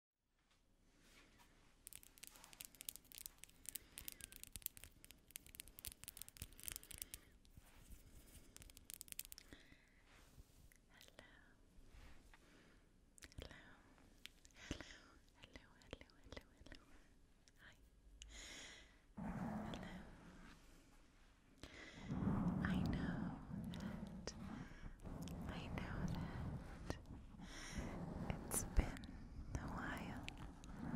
hello, hello, hello, hello. Hi. Hello. I know that. I know that. It's been a while.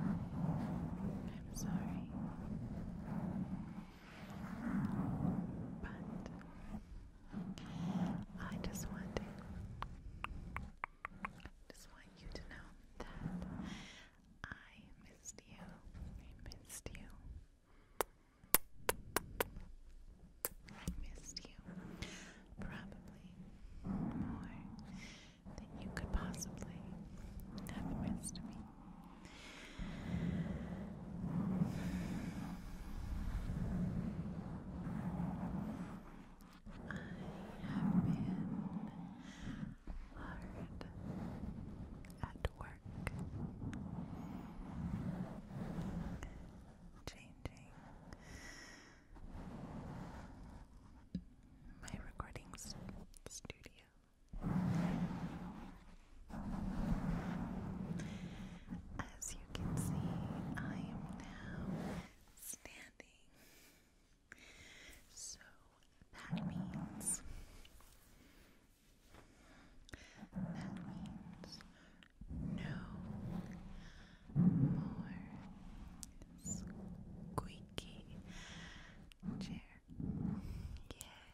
I'm sorry. But I just want just want you to know that I missed you. I missed you. I missed you probably more than you could possibly have missed me. I have been hard at work changing. My recording studio. As you can see, I am now standing. So that means that means no more squeaky chair. Yay! No more squeaky chair.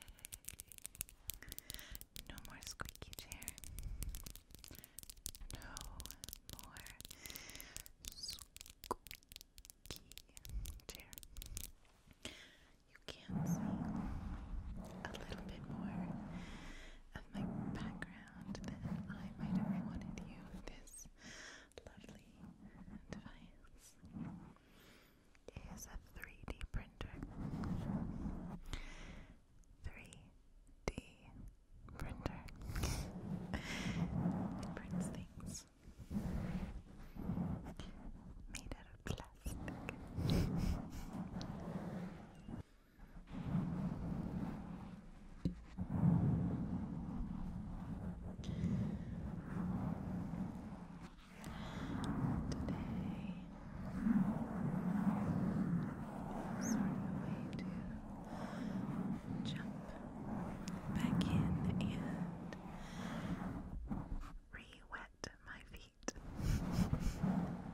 No more squeaky chair. You can see a little bit more of my background, then I might have wanted you this lovely device. It is a 3D printer. 3D printer. it prints things. Made out of plastic. Today is sort of a way to jump back in and re-wet my feet.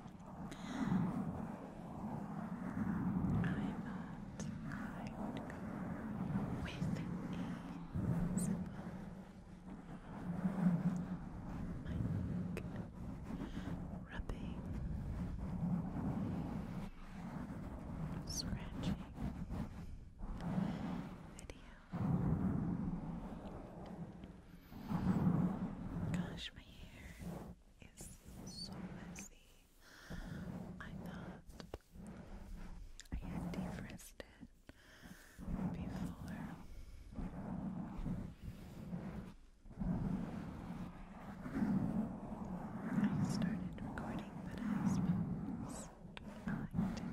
I'm not going with a simple mic rubbing, scratching video. Gosh, my hair is so messy. I thought I had defrosted it before. I started recording, but I suppose I liked it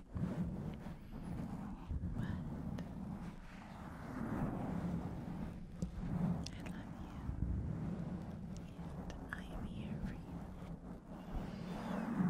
But I love you, and I am here for you. It's okay.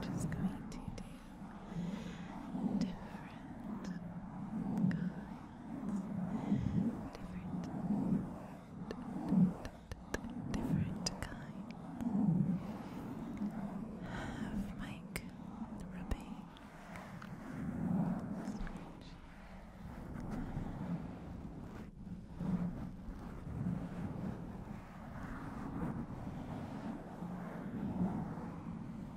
We're just going to do different kinds, different, different kinds of mic rubbing.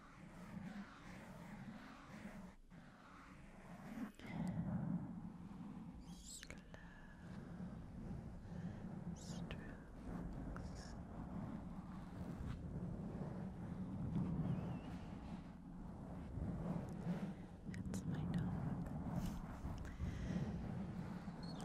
Slow strokes. That's my dog. Slow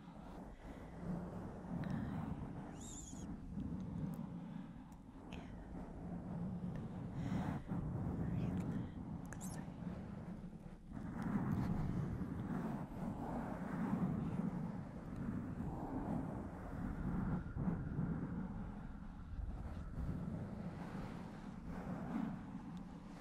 nice and relaxing. Now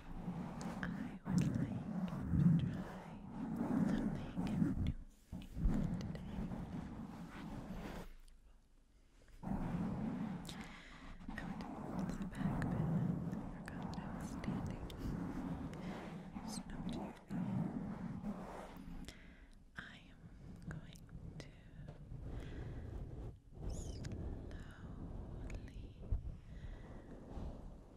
I would like to try something new today. I went to the back bed and forgot I was standing. Snow deer. I am going to slowly the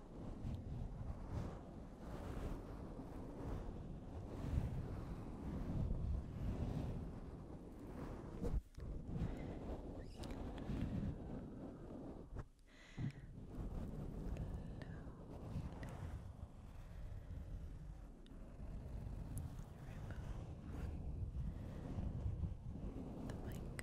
mic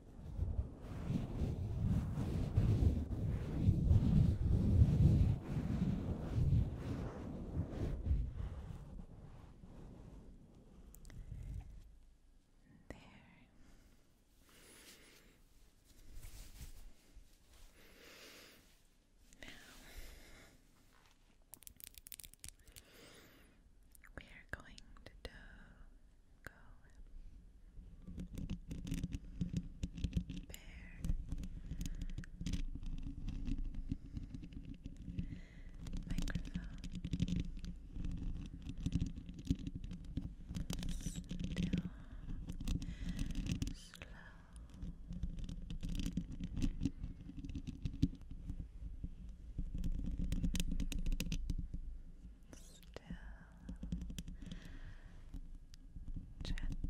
There. Now we are going to do go bear microphone still slow still, gentle, still, relaxing.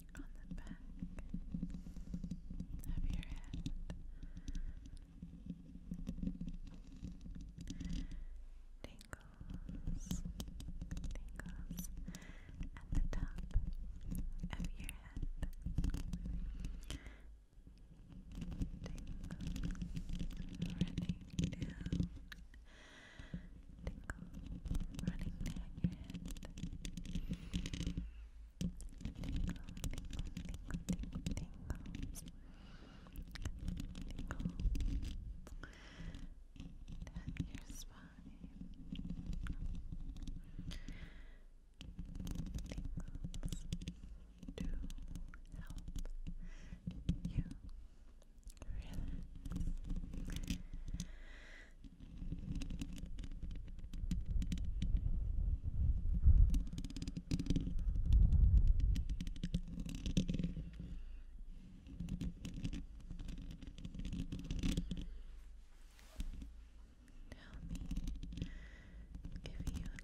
on the back of your head. Tingles, tingles at the top of your head. Tingles running down tingle running down your head. Tingle, tingle, tingle, tingle, tingle. Tingle down your spine. Tingles to help you relax. Tell me if you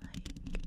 like these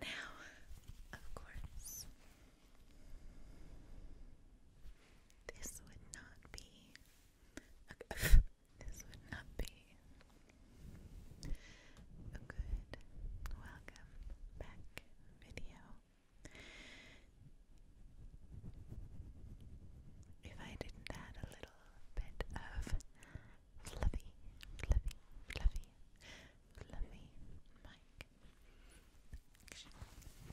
Now, of course, this would not be. this would not be a good welcome back video if I didn't a little bit of fluffy, fluffy, fluffy, fluffy mic. I sure do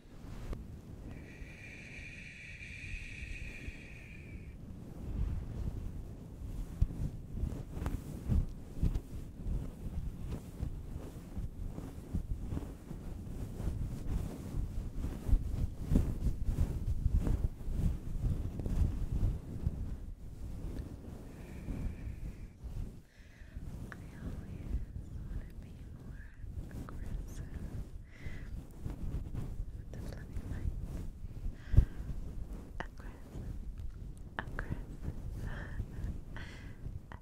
I always want to be more aggressive with aggressive, aggressive aggressive I don't know why.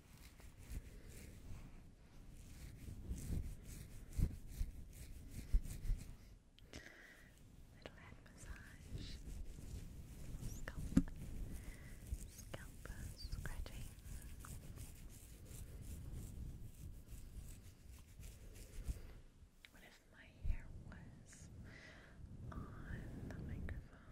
Little head massage, scalp, scalp scratching. What if my hair was on the microphone?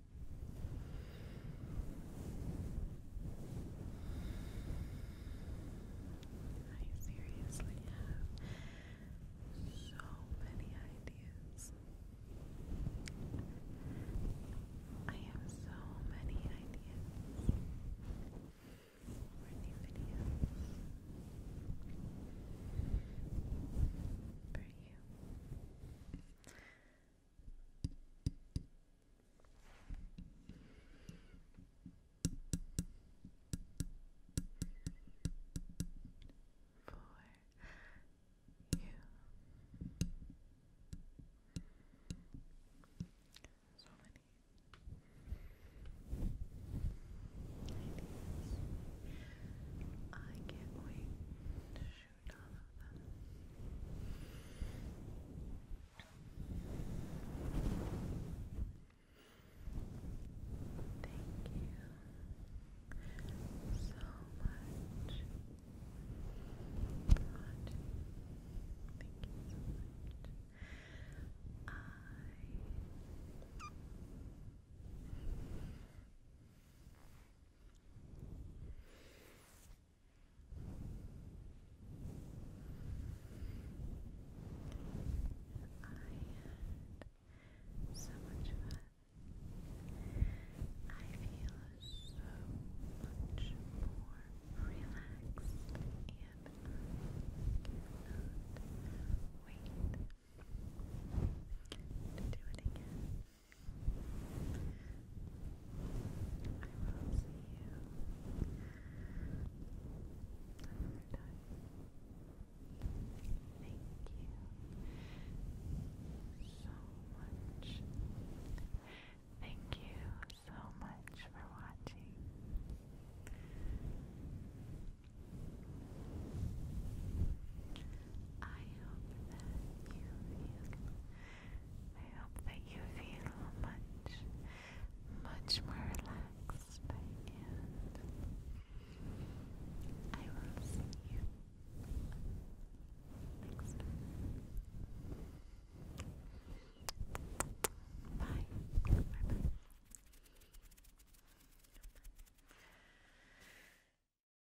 I seriously have so many ideas. I have so many ideas for new videos for you for you. So many ideas. I can't wait Thank you so much. Rod. Thank you so much had so much fun. I feel so much more relaxed and I cannot wait to it will see you another time. Thank you so much. Thank you so much for watching. I hope that you feel I hope that you feel much much more relaxed and I will see you next time. Bye bye.